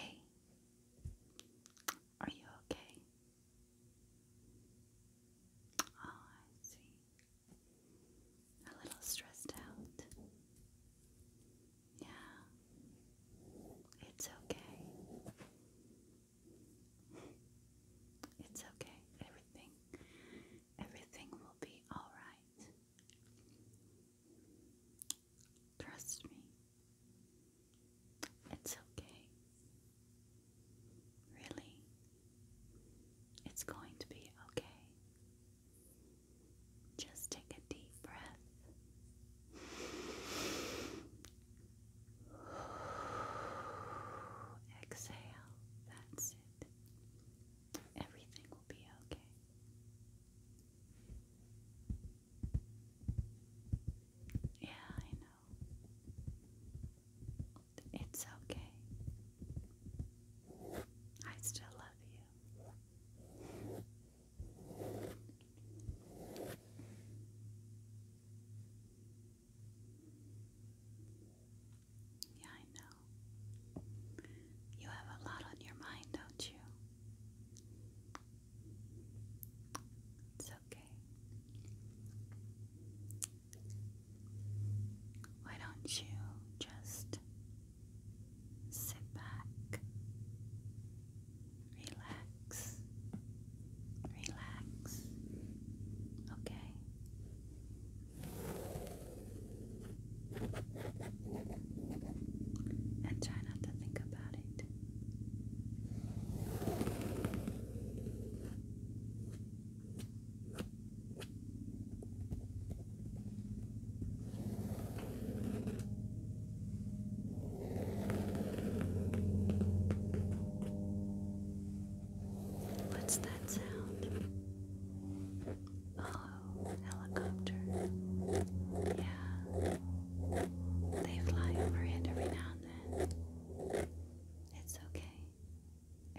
okay? Are you okay? Oh, I see. A little stressed out. Yeah. It's okay. It's okay. Everything everything will be all right. Trust me. It's okay. Really. It's going to be okay. Just take a deep breath. Exhale. That's it. Everything will be okay. Yeah, I know. It's okay. I still love you. Yeah, I know. You have a lot on your mind, don't you? It's okay. Why don't you just sit back, relax, relax, okay? and try not to think about it. What's that sound? Oh, helicopter. Yeah. They fly overhead every now and then. It's okay.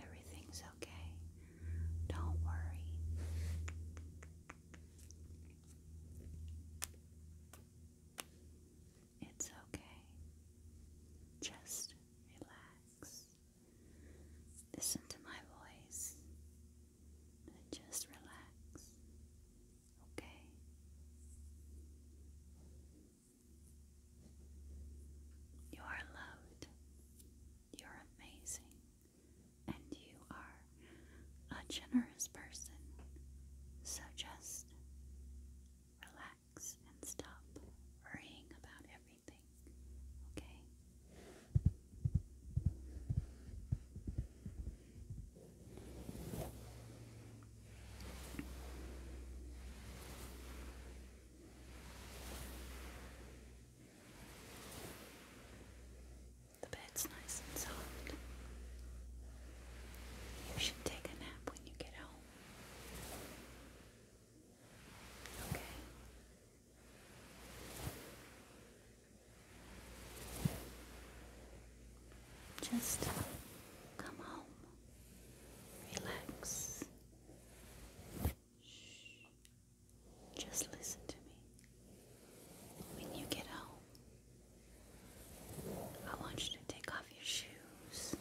Everything's okay. Don't worry. It's okay. Just relax. Listen to my voice just relax, okay? You are loved, you are amazing, and you are a generous person. So just relax and stop worrying about everything. Okay? The bed's nice and soft. You should take a nap when you get home. Okay. Just come home, relax. Shh. Just listen to me. When you get home, I want you to take off your shoes.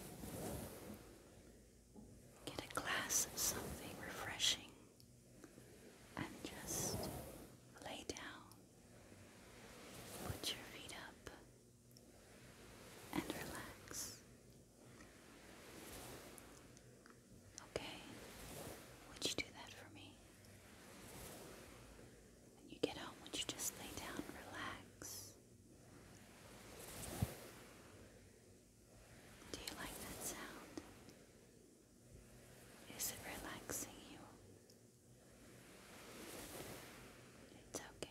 Get a glass of something refreshing and just lay down. Put your feet up and relax. Okay, would you do that for me? When you get home, would you just lay down, relax? Do you like that sound? Is it relaxing you? It's okay.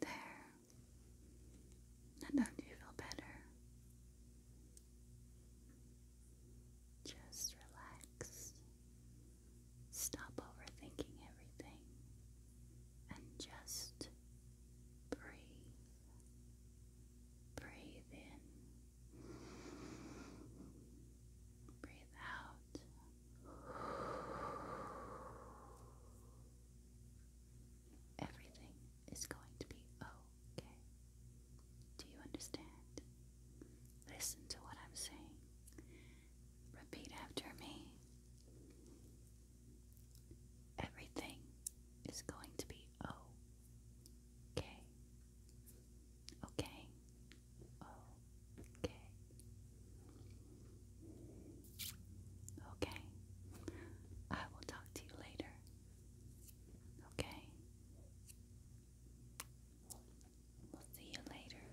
There. Now, don't you feel better? Just relax. Stop overthinking everything and just breathe. Breathe in. Breathe out. Everything is going to be okay. Do you understand? Listen to what I'm saying. Repeat after me. Everything is going to be okay. Okay. Okay. Okay. I will talk to you later. Okay. We'll see you later.